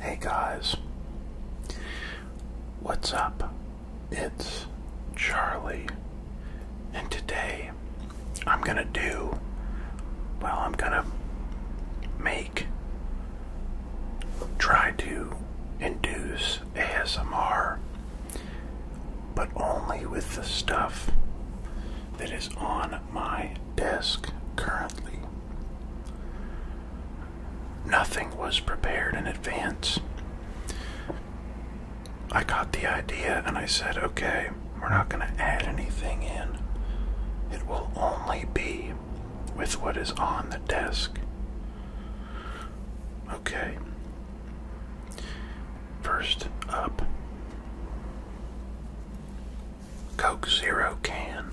Hey guys, what's up? It's Charlie, and today I'm gonna do, well, I'm gonna make, try to induce ASMR, but only with the stuff that is on my desk currently. Nothing was prepared in advance. I got the idea and I said, okay, we're not going to add anything in. It will only be with what is on the desk. Okay. First up Coke Zero can.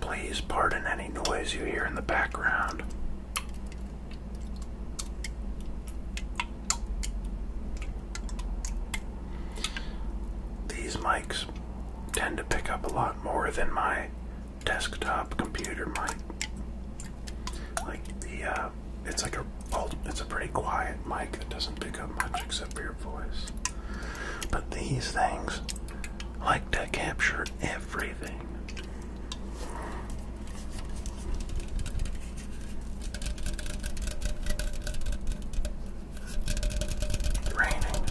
Please pardon any noise you hear in the background. These mics tend to pick up a lot more than my desktop computer mic. Like the, uh, it's like a, it's a pretty quiet mic that doesn't pick up much except for your voice. But these things like to capture everything. Raining.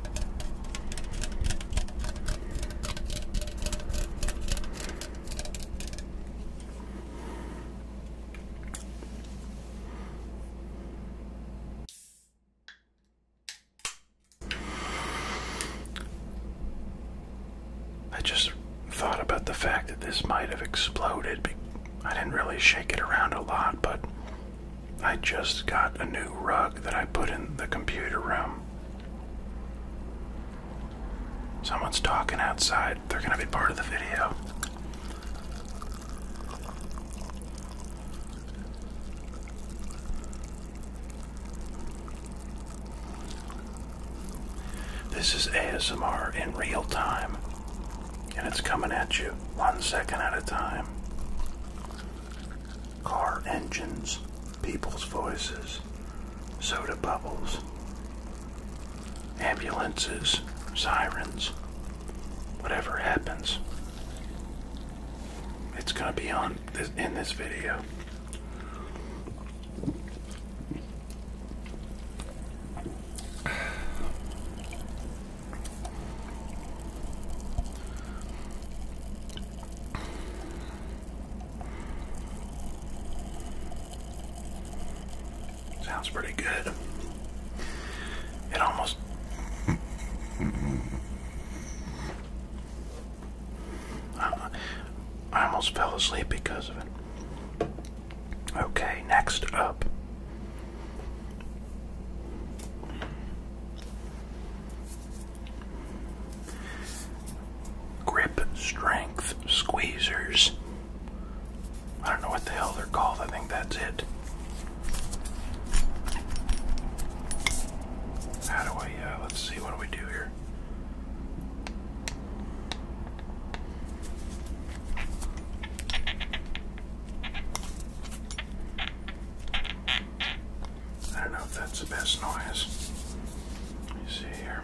I just thought about the fact that this might have exploded. I didn't really shake it around a lot, but I just got a new rug that I put in the computer room. Someone's talking outside. They're going to be part of the video. This is ASMR in real time, and it's coming at you one second at a time car engines, people's voices, soda bubbles, ambulances, sirens, whatever happens. It's going to be on in this video. Sounds pretty good. It almost. I almost fell asleep because of it. Okay, next up Grip strength squeezers. I don't know what the hell they're called, I think that's it. How do I, uh, let's see, what do we do here? I don't know if that's the best noise. Let me see here.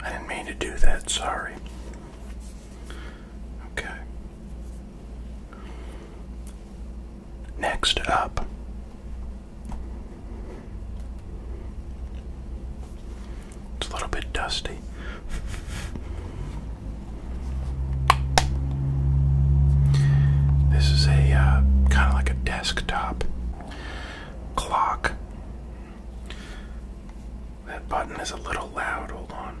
I didn't mean to do that, sorry. Okay. Next up it's a little bit dusty. This is a uh, kind of like a desktop clock. That button is a little loud. Hold on.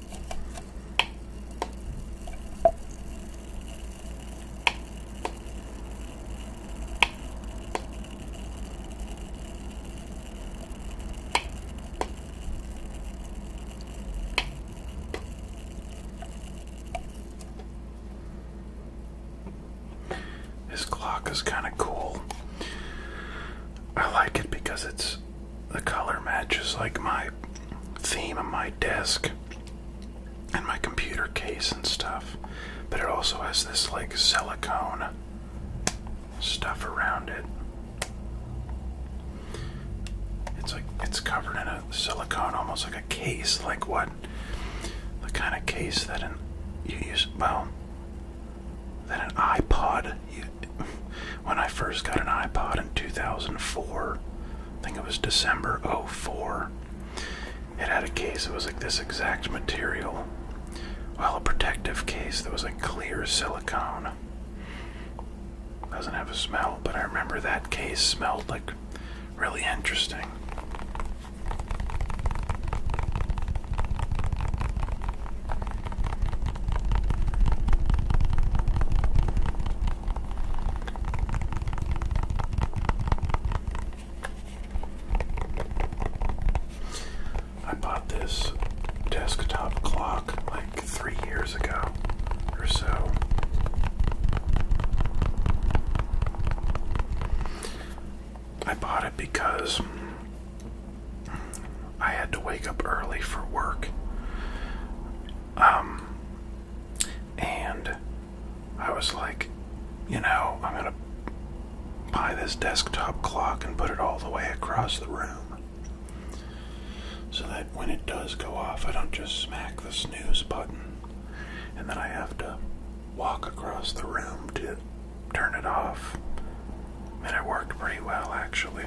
This clock is kind of cool. I like it because it's the color matches like my theme on my desk and my computer case and stuff. But it also has this like silicone stuff around it. It's like it's covered in a silicone, almost like a case, like what? The kind of case that an you use well that an iPod you when I first got an iPod in 2004. I think it was December 04. It had a case that was like this exact material. while a protective case that was like clear silicone. Doesn't have a smell, but I remember that case smelled like really interesting. I bought this desktop clock like three years ago or so. I bought it because I had to wake up early for work. Um, and I was like, you know, I'm gonna buy this desktop clock and put it all the way across the room so that when it does go off, I don't just smack the snooze button and then I have to walk across the room to turn it off. And it worked pretty well, actually.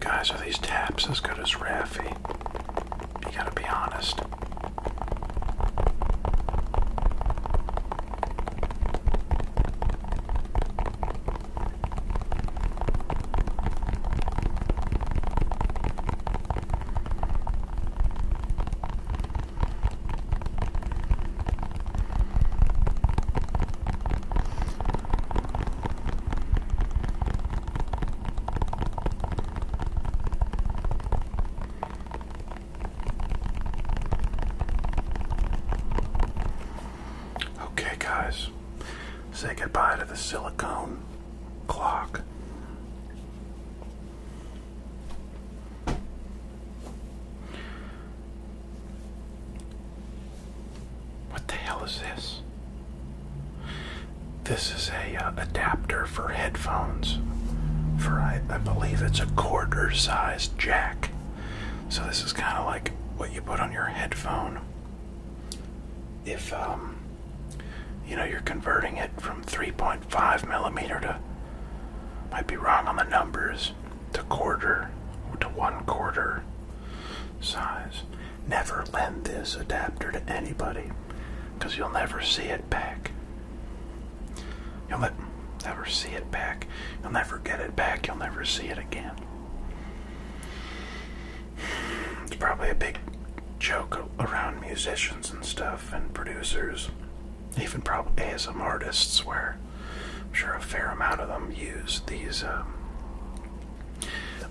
Guys, are these taps as good as Raffy? You gotta be honest. Okay, guys, say goodbye to the silicone clock. What the hell is this? This is a uh, adapter for headphones. For I, believe it's a quarter size jack. So this is kind of like what you put on your headphone. If um you know, you're converting it from 3.5 millimeter to, might be wrong on the numbers, to quarter to one quarter size. Never lend this adapter to anybody because you'll never see it back. You'll never see it back. You'll never get it back. You'll never see it again. It's probably a big joke around musicians and stuff and producers, even probably some artists, where I'm sure a fair amount of them use these. Um,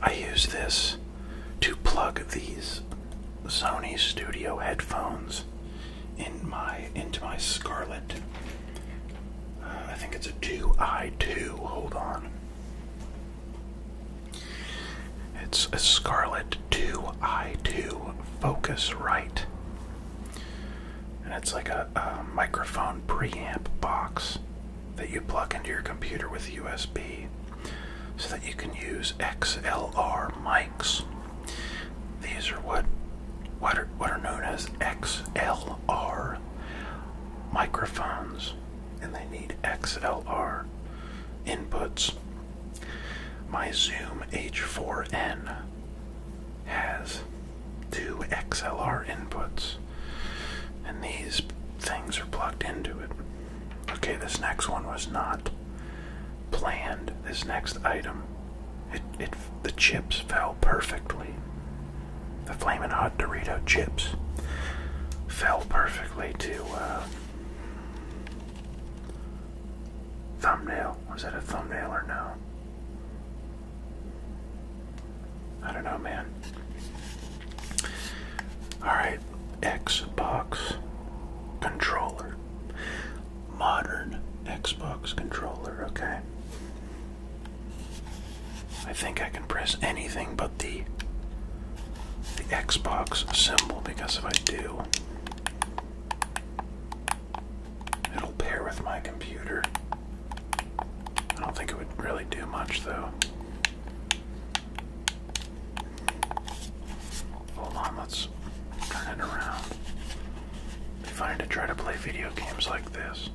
I use this to plug these Sony Studio headphones in my into my Scarlett. Uh, I think it's a 2i2. Hold on. It's a Scarlet 2i2 Focus Right. And it's like a, microphone preamp box that you plug into your computer with USB so that you can use XLR mics. These are what what are, what are known as XLR microphones and they need XLR inputs my Zoom H4n has two XLR inputs, and these things are plugged into it. Okay, this next one was not planned. This next item, it, it the chips fell perfectly. The flaming Hot Dorito chips fell perfectly too. Uh, Thumbnail. Was that a thumbnail or no? I don't know, man. Alright, Xbox controller. Modern Xbox controller, okay. I think I can press anything but the the Xbox symbol because if I do, it'll pair with my computer. I don't think it would really do much though. Hold on, let's turn it around. be fine to try to play video games like this.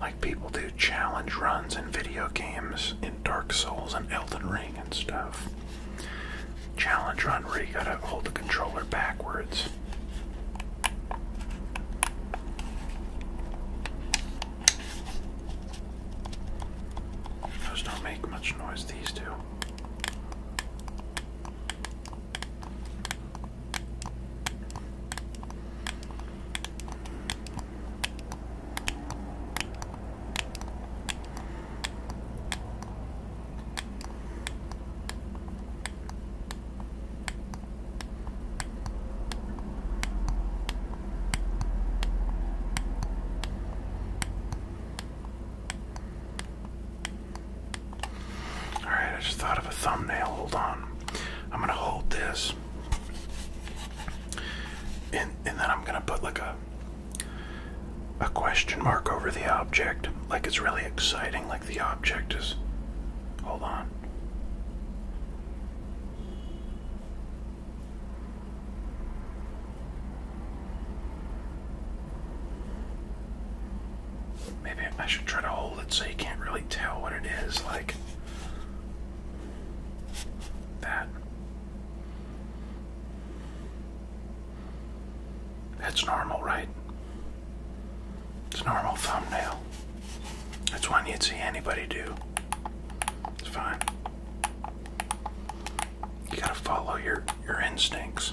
Like people do challenge runs in video games, in Dark Souls and Elden Ring and stuff. Challenge run where you gotta hold the controller backwards. Those don't make much noise, these two. All right, I just thought of a thumbnail. Hold on. I'm going to hold this and, and then I'm gonna put like a a question mark over the object, like it's really exciting, like the object is. Hold on. Maybe I should try to hold it so you can't really tell what it is, like. That. That's normal, right? It's normal thumbnail. That's one you'd see anybody do. It's fine. You gotta follow your your instincts.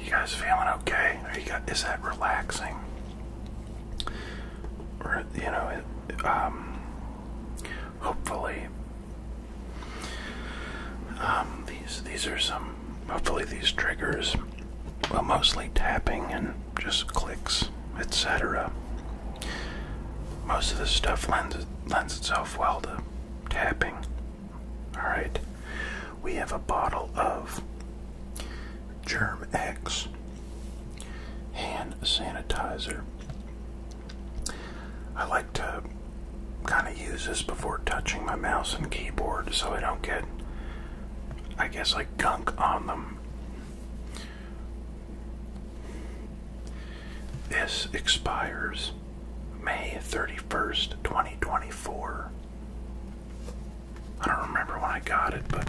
You guys feeling okay? Are you got is that relaxing? Or you know, um, hopefully, um, these these are some. Hopefully, these triggers, well, mostly tapping and just clicks, etc. Most of the stuff lends, lends itself well to tapping. Alright, we have a bottle of Germ X hand sanitizer. I like to kind of use this before touching my mouse and keyboard so I don't get, I guess, like gunk on them. This expires May 31st, 2024. I don't remember when I got it, but.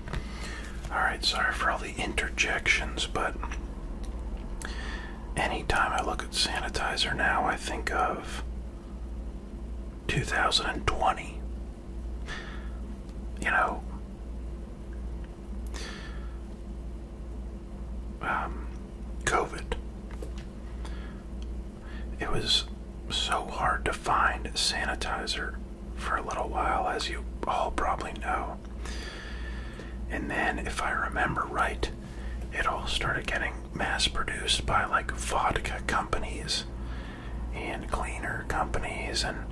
Alright, sorry for all the interjections, but anytime I look at sanitizer now, I think of 2020. You know, um, COVID. It was so hard to find sanitizer for a little while, as you all probably know. And then, if I remember right, it all started getting mass produced by like vodka companies and cleaner companies and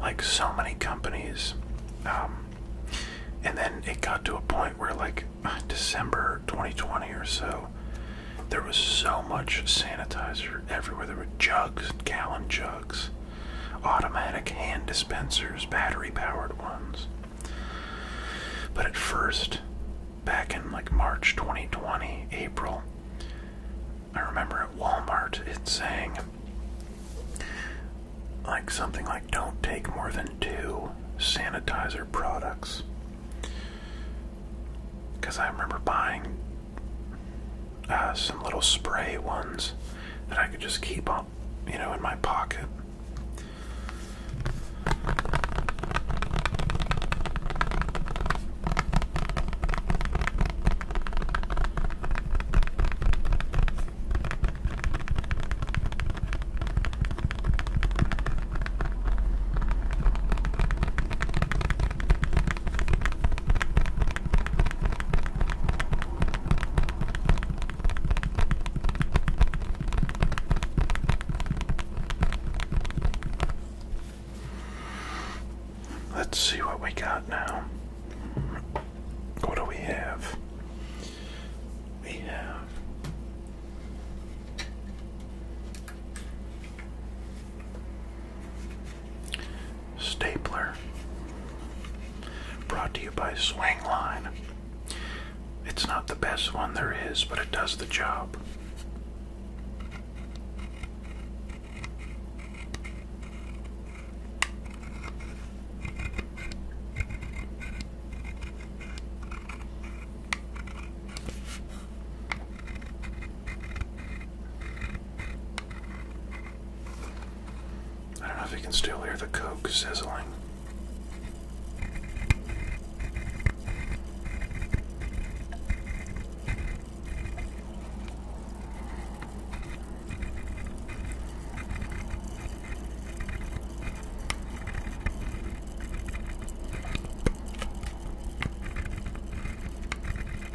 like so many companies. Um, and then it got to a point where, like, December 2020 or so, there was so much sanitizer everywhere. There were jugs, and gallon jugs, automatic hand dispensers, battery powered ones. But at first, back in like March 2020, April, I remember at Walmart it saying like something like don't take more than two sanitizer products. Because I remember buying uh, some little spray ones that I could just keep up, you know, in my pocket. Let's see what we got now. What do we have? We have Stapler. Brought to you by Swingline. It's not the best one there is, but it does the job. I don't know if you can still hear the coke sizzling.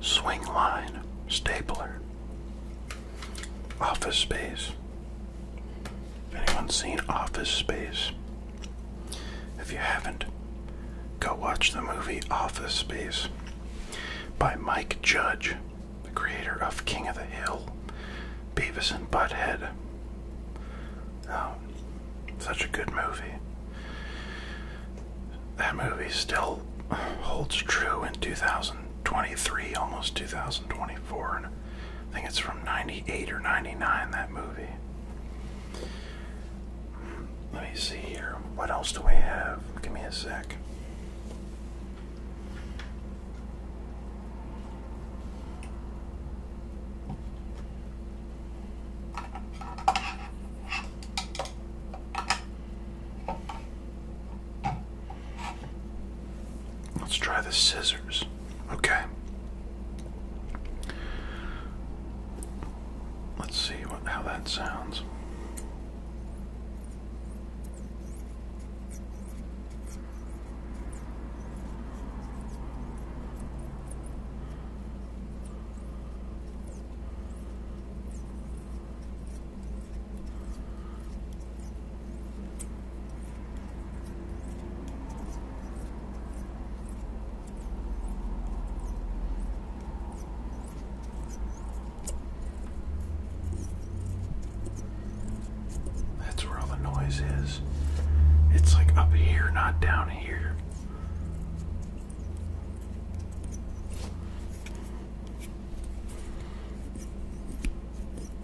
Swing line stapler. Office Space. If seen Office Space, if you haven't, go watch the movie Office Space by Mike Judge, the creator of King of the Hill, Beavis and Butthead. Oh, such a good movie. That movie still holds true in 2023, almost 2024, I think it's from 98 or 99, that movie. Let me see here. What else do we have? Give me a sec. Let's try the scissors. Okay. Let's see how that sounds. That's where all the noise is. It's like up here, not down here.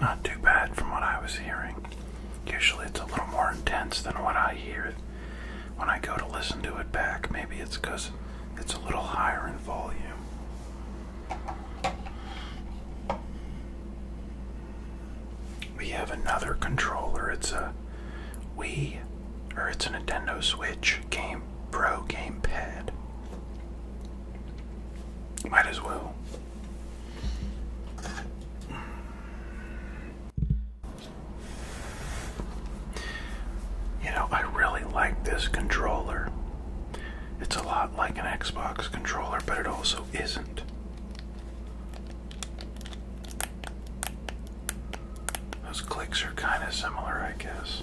Not too bad from what I was hearing. Usually it's a little more intense than what I hear when I go to listen to it back, maybe it's because it's a little higher in volume. We have another controller. It's a Wii, or it's a Nintendo Switch Game Pro Game Pad. Might as well. You know, I really like this controller. It's a lot like an Xbox controller, but it also isn't. Those clicks are kind of similar, I guess.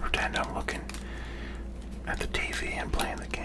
Pretend I'm looking at the TV and playing the game.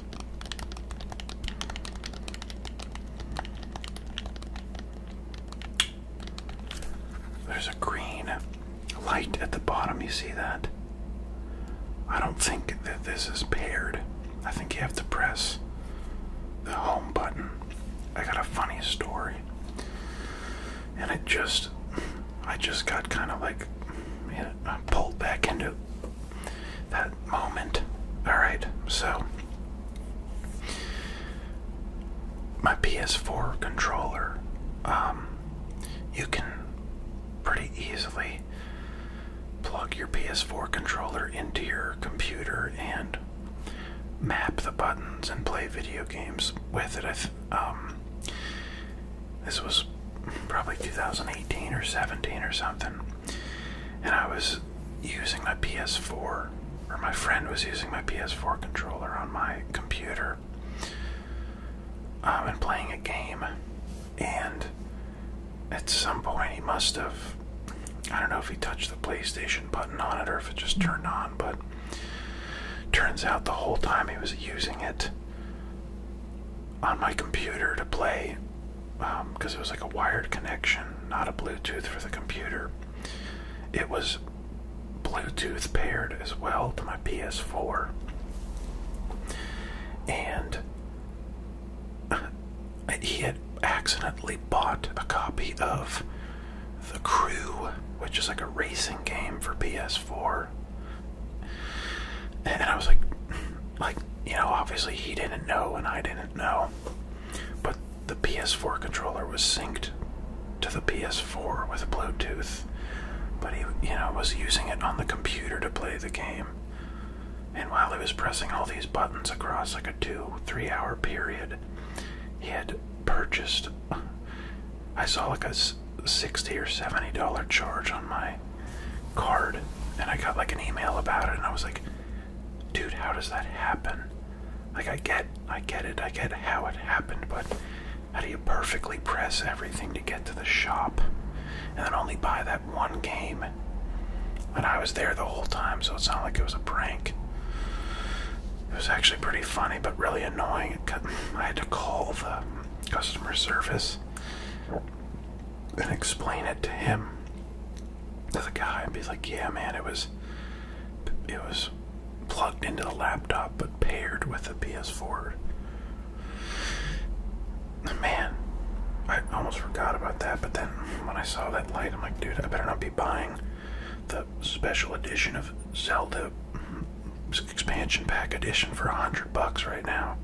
There's a green light at the bottom, you see that? I don't think that this is paired. I think you have to press the home button. I got a funny story. And it just I just got kind of like you know, pulled back into that moment. Alright, so my PS4 controller, um, you can pretty easily plug your PS4 controller into your computer and map the buttons and play video games with it. I um, this was probably 2018 or 17 or something, and I was using my PS4, or my friend was using my PS4 controller on my computer, um, and playing a game, and at some point he must have. I don't know if he touched the PlayStation button on it or if it just turned on, but turns out the whole time he was using it, on my computer to play because um, it was like a wired connection, not a Bluetooth for the computer. It was Bluetooth paired as well to my PS4. And he had accidentally bought a copy of The Crew, which is like a racing game for PS4. PS4. And I was like, like you know, obviously he didn't know and I didn't know, but the PS4 controller was synced to the PS4 with Bluetooth. But he, you know, was using it on the computer to play the game. And while he was pressing all these buttons across like a two, three hour period, he had purchased. I saw like a 60 or 70 dollar charge on my card and I got like an email about it and I was like dude how does that happen like I get I get it I get how it happened but how do you perfectly press everything to get to the shop and then only buy that one game and I was there the whole time so it's not like it was a prank it was actually pretty funny but really annoying I had to call the customer service and explain it to him, to the guy, be like, "Yeah, man, it was, it was plugged into the laptop, but paired with the PS4." Man, I almost forgot about that. But then when I saw that light, I'm like, "Dude, I better not be buying the special edition of Zelda." expansion pack edition for a hundred bucks right now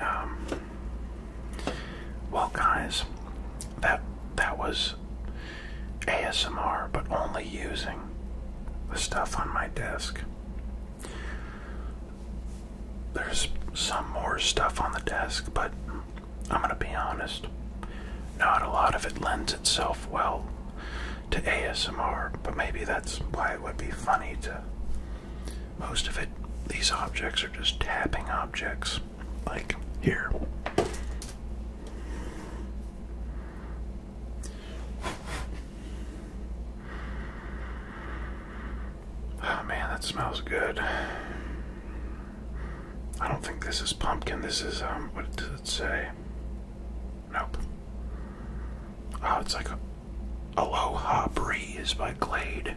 um, well, guys, that that was ASMR, but only using the stuff on my desk. There's some more stuff on the desk, but I'm gonna be honest. Not a lot of it lends itself well to ASMR, but maybe that's why it would be funny to most of it. These objects are just tapping objects, like here. Oh man, that smells good. I don't think this is pumpkin. This is, um, what does it say? Nope. Oh, it's like a Aloha Breeze my Glade.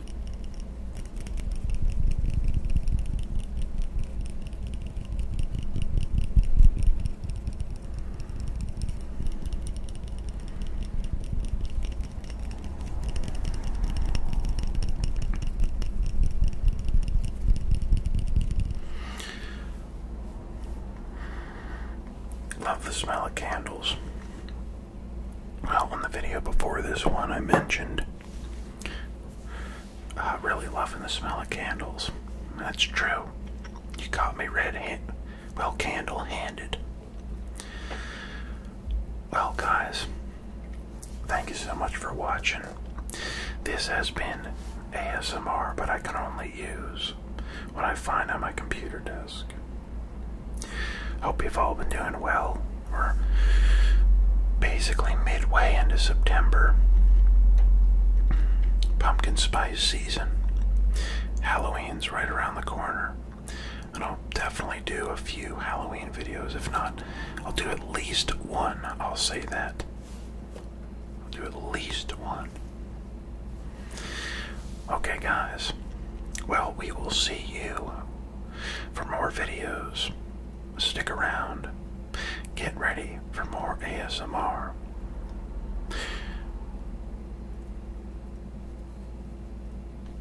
Love the smell of candles. Well, on the video before this one, I mentioned uh, really loving the smell of candles. That's true. You caught me red hand, well, candle handed. Well, guys, thank you so much for watching. This has been ASMR, but I can only use, what I find on my computer desk. Hope you've all been doing well. We're basically midway into September. Pumpkin spice season. Halloween's right around the corner. And I'll definitely do a few Halloween videos. If not, I'll do at least one. I'll say that. I'll do at least one. Okay, guys. Well, we will see you for more videos. Stick around. Get ready for more ASMR.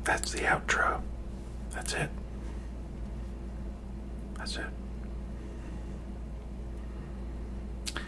That's the outro. That's it. That's it.